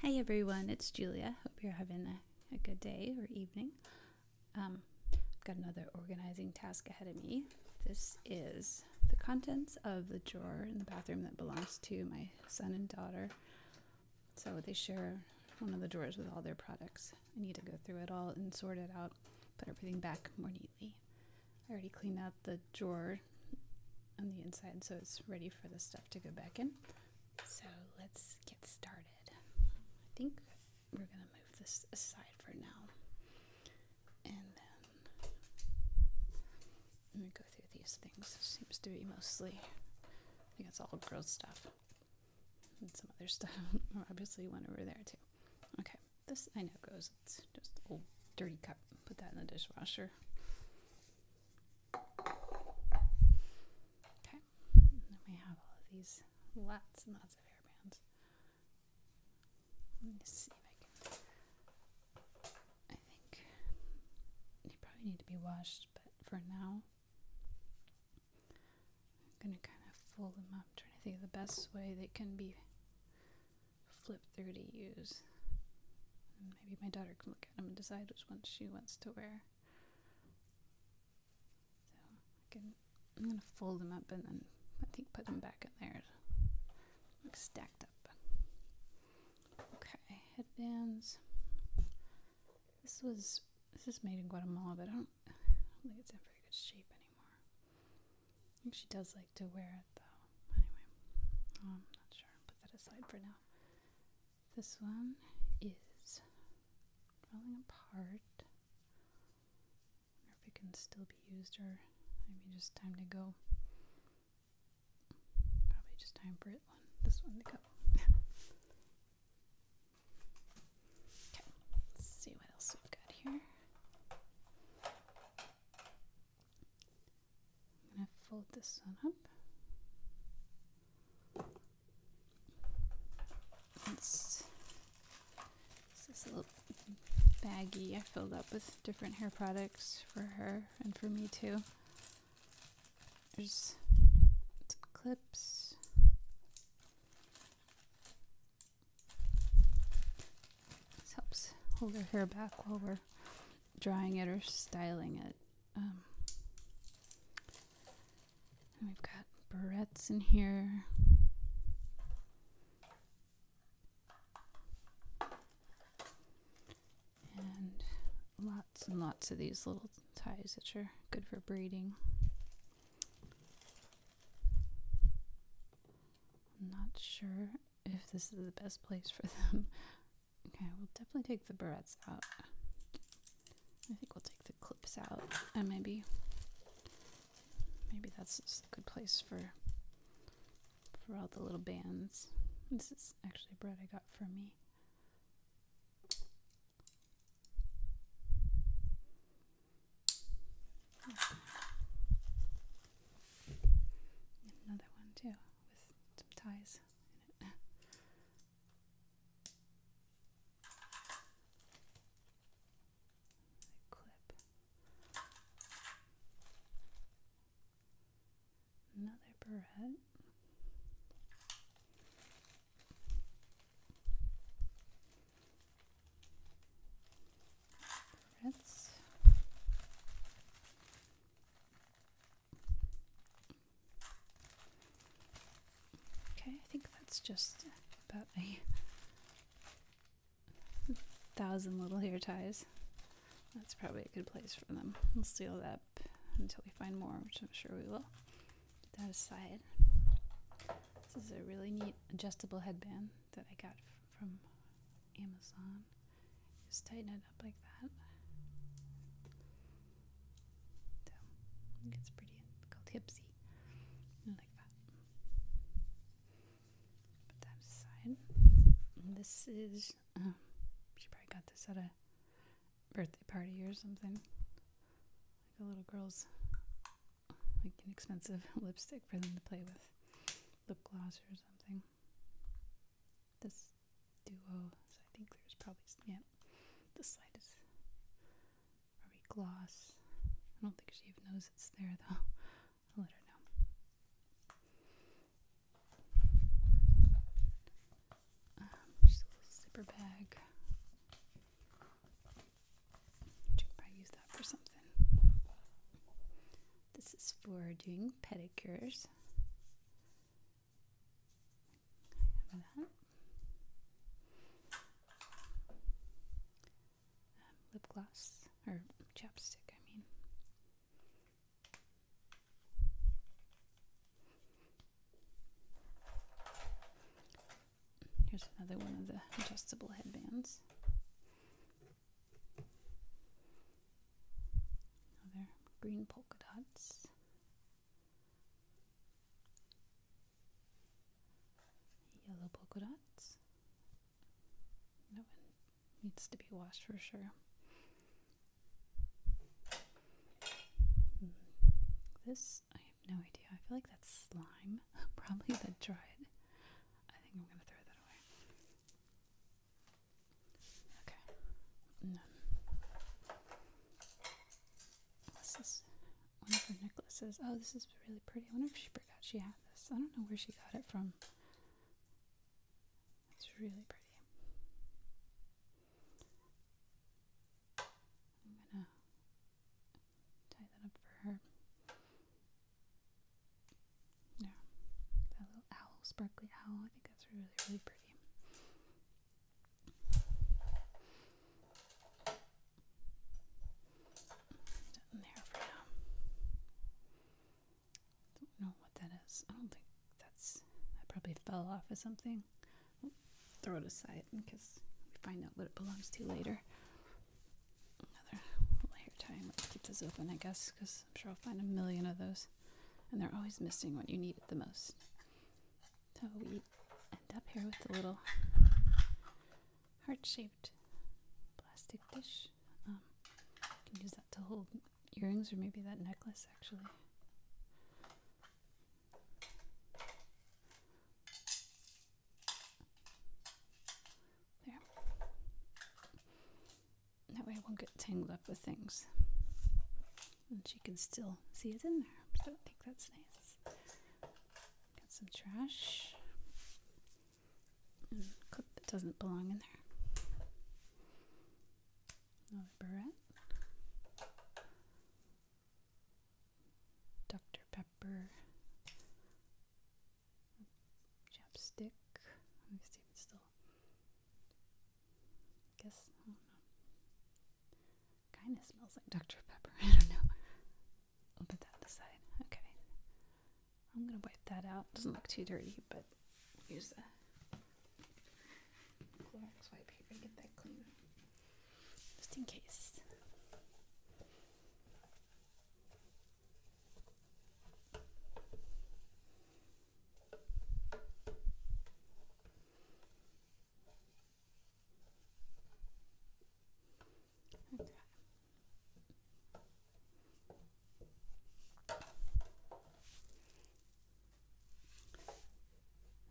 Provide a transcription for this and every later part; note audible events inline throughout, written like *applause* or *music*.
Hey everyone, it's Julia. Hope you're having a, good day or evening. Um, I've got another organizing task ahead of me. This is the contents of the drawer in the bathroom that belongs to my son and daughter. So they share one of the drawers with all their products. I need to go through it all and sort it out, put everything back more neatly. I already cleaned out the drawer on the inside so it's ready for the stuff to go back in. So let's get started. I think we're going to move this aside for now. And then I'm going to go through these things. It seems to be mostly, I think it's all girls' stuff. And some other stuff. *laughs* Oh, obviously, one over there, too. Okay, this I know goes. It's just old dirty cup. Put that in the dishwasher. Okay, and then we have all of these lots and lots of air bands. Let me see if I can. I think they probably need to be washed, but for now, I'm gonna kind of fold them up, i trying to think of the best way they can be flipped through to use. maybe my daughter can look. I'm gonna decide which one she wants to wear. So I am going to fold them up and then I think put them back in there. Like stacked up. Okay, headbands. This was this is made in Guatemala, but I don't, I don't think it's in very good shape anymore. I think she does like to wear though. Anyway, I'm not sure. Put that aside for now. This one is falling apart. if it can still be used or maybe just time to go. Probably just time for it one. This one to go. *laughs* okay, see what else we've got here. I'm going to fold this one up. It's, it's this little baggy I filled up with different hair products for her and for me too. There's some clips. This helps hold her hair back while we're drawing it or styling it. Um, we've got barrettes in here. And lots and lots of these little ties that are good for braiding. I'm not sure if this is the best place for them. Okay, we'll definitely take the barrettes out. I think we'll take the clips out, and maybe, maybe that's a good place for for all the little bands. This is actually bread I got for me. Another one too some ties clip. Another barrette. Barrettes. Okay, I think that's just about a thousand little hair ties. That's probably a good place for them. We'll seal it up until we find more, which I'm sure we will. Put that aside. This is a really neat adjustable headband that I got from Amazon. Just tighten it up like that. So pretty called hipsy. Like that. Put that aside. this is um, she probably got this at a birthday party or something. Like a little girl's like an expensive *laughs* lipstick for them to play with. Lip gloss or something this duo. So I think there's probably yeah. the side is probably gloss. I don't think she even knows it's there though. *laughs* I'll let her know. Um, just a little zipper bag. Should use that for something. This is for doing pedicures. lip gloss or chapstick, I mean. Here's another one of the adjustable headbands. Other green polka dots. Yellow polka dots. That one needs to be washed for sure. Hmm. This, I have no idea. I feel like that's slime. *laughs* Probably the dried. I think I'm going to throw that away. Okay. And this one of her necklaces. Oh, this is really pretty. I wonder if she forgot she had this. I don't know where she got it from. It's really pretty. I'm gonna tie that up for her. Yeah. That little owl, sparkly owl. I think that's really, really pretty. In there for now. Don't know what that is. I don't think that's. I probably fell off of something. throw it aside because we find out what it belongs to later. Another layer tie. Let's keep this open, I guess, because I'm sure I'll find a million of those. And they're always missing what you need it the most. So we end up here with a little heart shaped plastic dish. Um, you can use that to hold earrings or maybe that necklace actually. There. That way I won't get tangled up with things. And she can still see it in there. So I think that's nice. Got some trash. clip that doesn't belong in there. Another barrette. Dr. Pepper chapstick. Let me see if it's still. I guess Kind of smells like Dr Pepper. *laughs* I don't know. I'll put that aside. Okay. I'm gonna wipe that out. Doesn't look too dirty, but use the Clorox wipe here to get that clean, just in case. Okay.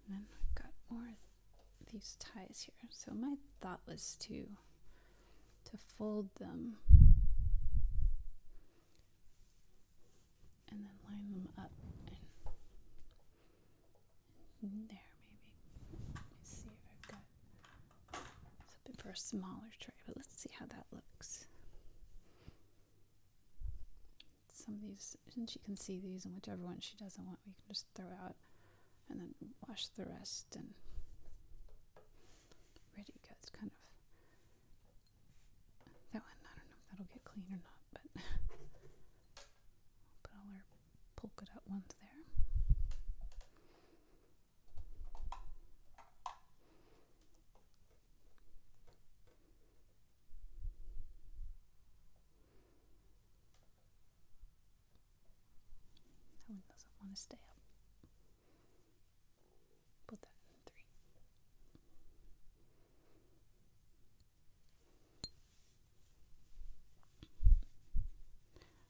then I've got more these ties here. So my thought was to to fold them and then line them up and there maybe let me see if I've got something for a smaller tray but let's see how that looks some of these and she can see these and whichever one she doesn't want we can just throw out and then wash the rest and ready because kind of that one I don't know if that'll get clean or not, but *laughs* put all our polka dot ones there. That one doesn't want to stay up.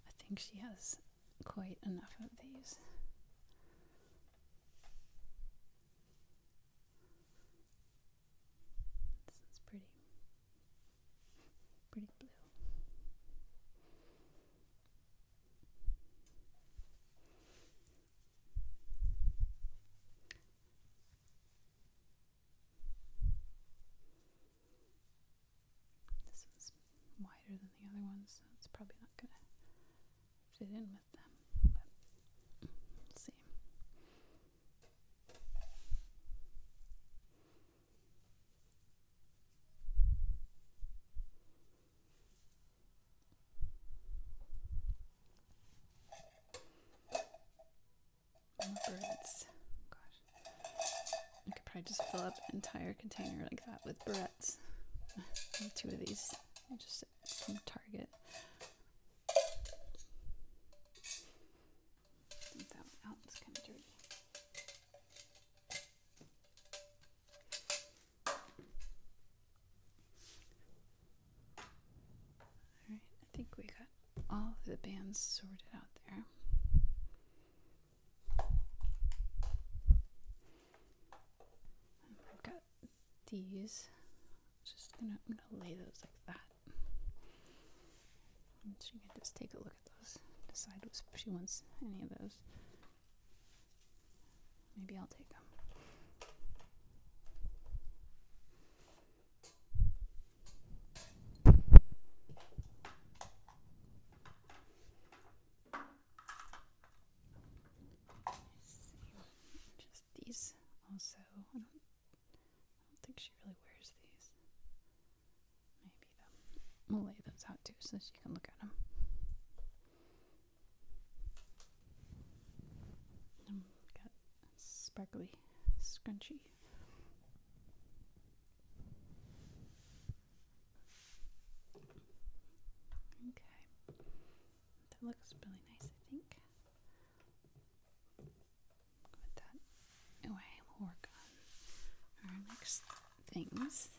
I think she has quite enough of these. This is pretty, pretty blue. This one's wider than the other one, so it's probably not going to fit in with them. But see. More Gosh. I could probably just fill up an entire container like that with breads. *laughs* Two of these. Just from Target. That one out. It's kind of dirty. All right, I think we got all the bands sorted out there. I've got these. Just gonna, I'm gonna lay those like that. just take a look Decide if she wants any of those. Maybe I'll take them. Just these also. I think she really these. Maybe the, um, we'll lay those out too so that you can look at them. Mm, got sparkly scrunchie. Okay, that looks really nice, I think. Put that away. We'll work on our next things.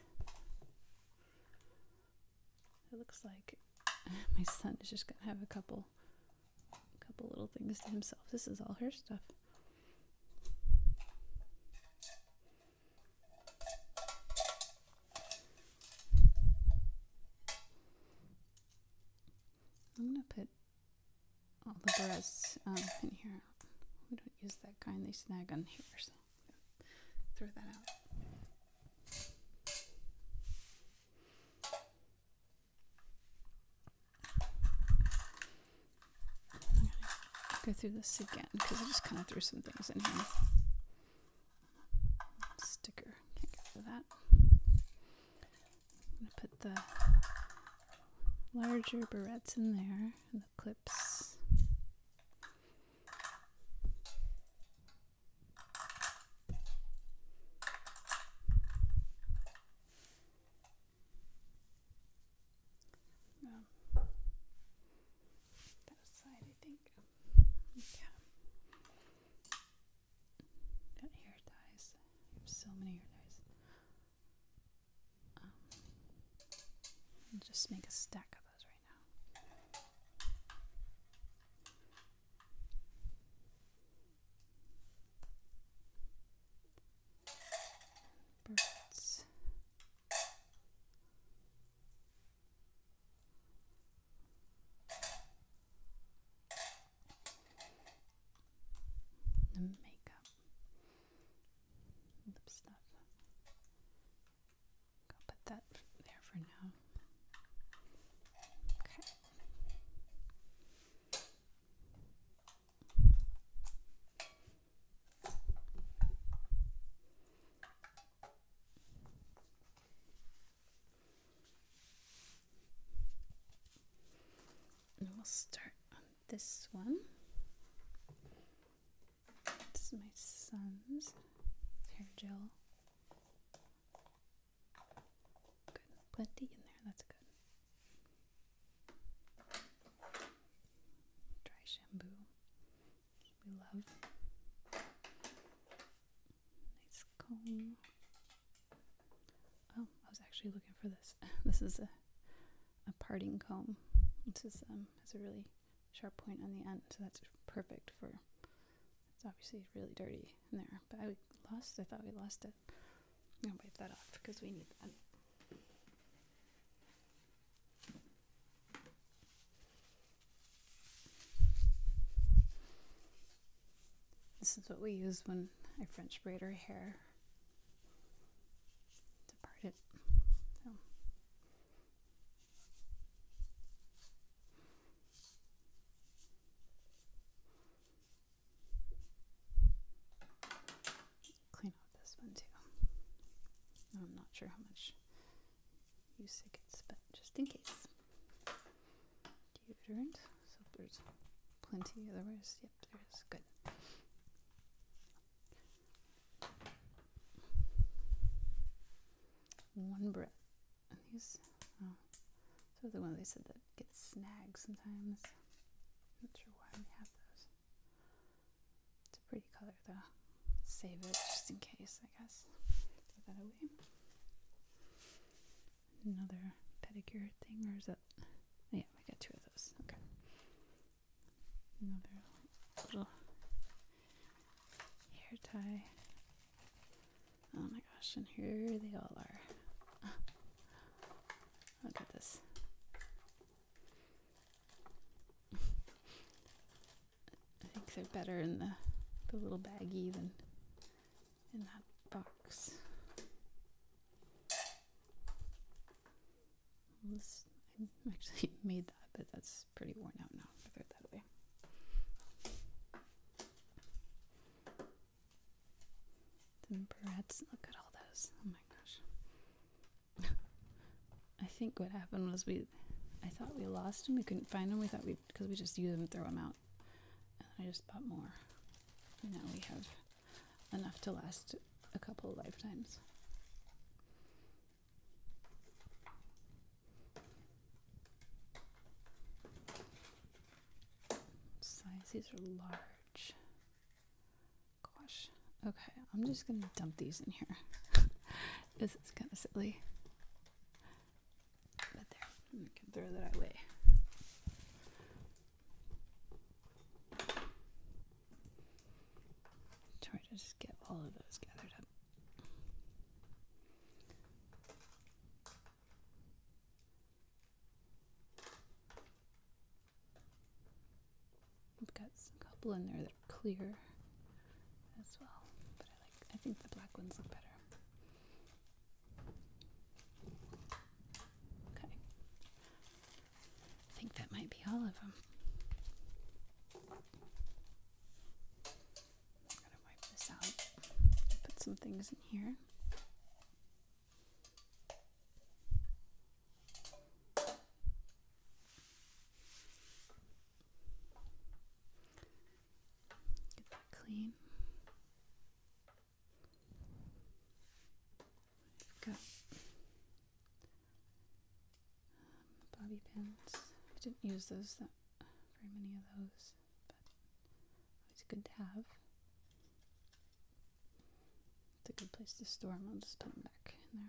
It looks like *laughs* my son is just gonna have a couple, couple little things to himself. This is all her stuff. I'm gonna put all the breasts um, in here is that kind they snag on here. So throw that out. Go through this again because I just kind of threw some things in here. Sticker, can't get rid that. put the larger barrettes in there and the clips. that side, I think. Yeah. hair ties. so many hair ties. Um, just make a stack of those right now. Birds. The makeup lip stuff. I'll put that there for now. Okay. And we'll start this one. This is my son's hair gel. Good, plenty in there. That's good. Dry shampoo. We love. Nice comb. Oh, I was actually looking for this *laughs* this, is a, a parting comb. This is um, has a really sharp point on the end, so that's perfect for. It's obviously really dirty in there, but I lost. I thought we lost it. i am gonna wipe that off because we need that. This is what we use when I French braid her hair to part it. Clean up this one too. I'm not sure how much use it gets, but just in case. Deodorant. So there's plenty, otherwise, yep, there is. Good. One breath. And these, oh, so the one they said that gets snagged sometimes. Not sure why we have those. It's a pretty color though. Save it just in case, I guess. Throw that away. Another pedicure thing, or is that? Yeah, we got two of those. Okay. Another little hair tie. Oh my gosh, and here they all are. *laughs* Look at this. *laughs* I think they're better in the, the little baggy than in that box. I actually *laughs* made that, but that's pretty worn out now. I throw that way. Then barrettes. Look at all those. Oh my gosh. *laughs* I think what happened was we, I thought we lost them. We couldn't find them. We thought we, because we just used them and throw them out. And I just bought more. now we have enough to last a couple of lifetimes. Size, these are large. Gosh. Okay, I'm just going to dump these in here. *laughs* this is kind of silly. But there, I can throw that away. Try to just get all of those gathered up. We've got a couple in there that are clear as well, but I like. I think the black ones look better. Okay. I think that might be all of them. I'm gonna wipe this out. Put some things in here. Get that clean i bobby pins. I didn't use those that very many of those, but always good to have. It's a good place to store them. I'll just put them back in there.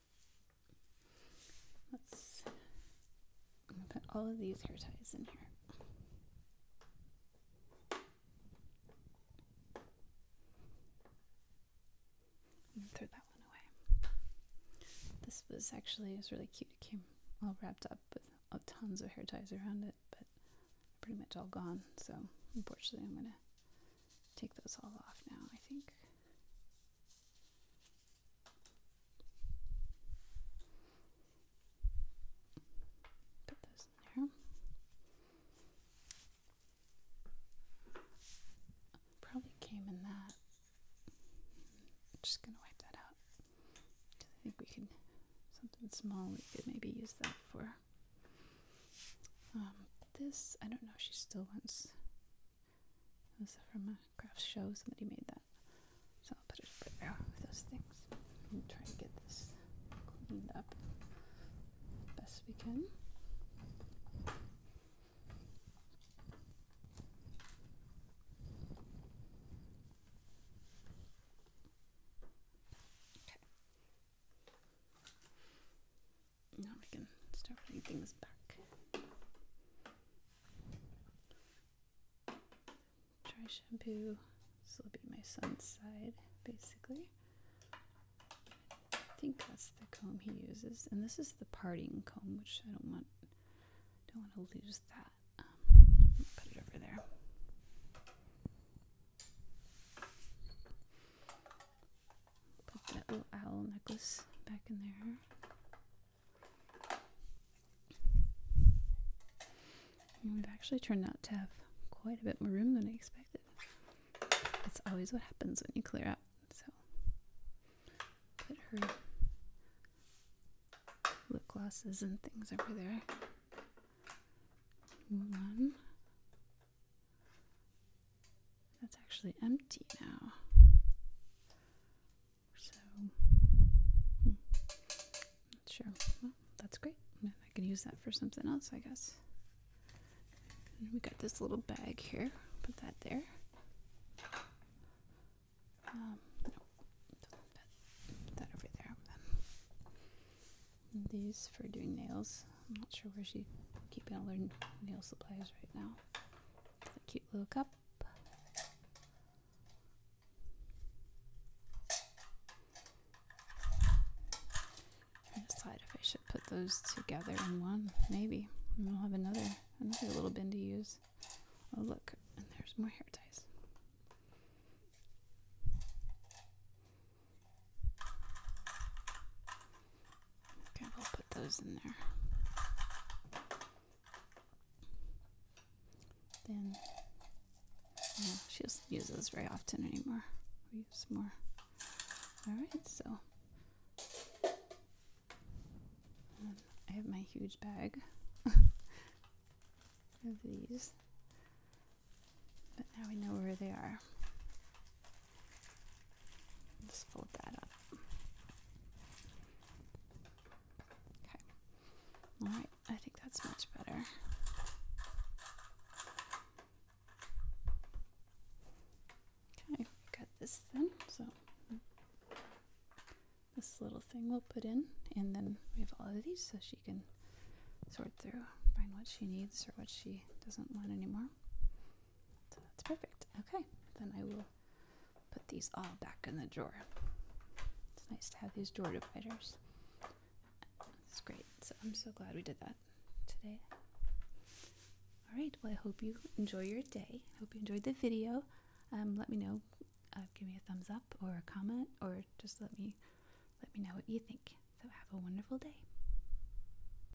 Let's put all of these hair ties in here. throw that one away. This was actually it was really cute. It came all wrapped up with oh, tons of hair ties around it, but pretty much all gone. So unfortunately, I'm gonna take those all off now. I think. Put those in there. Probably came in that. i just gonna wipe that out. I think we can something small we could maybe use that for. Um, this I don't know she still wants it was from a craft show. Somebody made that. So I'll put it right there with those things. And try and get this cleaned up best we can. Okay. Now we can start putting things back. Dry shampoo. This will be my son's side, basically. I think that's the comb he uses, and this is the parting comb, which I don't want. Don't want to lose that. Um, put it over there. Put that little owl necklace back in there. we've actually turned out to have quite a bit more room than I expected. That's always what happens when you clear out. So, put her lip glosses and things over there. One. That's actually empty now. So, hmm. sure. Well, that's great. I can use that for something else, I guess. And we got this little bag here. Put that there. Um, no, that over there. these for doing nails. I'm not sure where she's keeping all her nail supplies right now. cute little cup. I decide if I should put those together in one, maybe. And we'll have another another little bin to use. Oh look, and there's more hair ties. Okay, we'll put those in there. Then, she doesn't use those very often anymore. We use more. Alright, so. I have my huge bag *laughs* of these. But now we know where they are. Just fold that up. Okay. All right. I think that's much better. Okay, got this then. So this little thing we'll put in, and then we have all of these, so she can sort through, find what she needs or what she doesn't want anymore. So that's perfect. Okay, then I will put these all back in the drawer. It's nice to have these drawer dividers. It's great. So I'm so glad we did that today. All right, well, I hope you enjoy your day. I hope you enjoyed the video. Um, let me know. Uh, give me a thumbs up or a comment, or just let me let me know what you think. So have a wonderful day.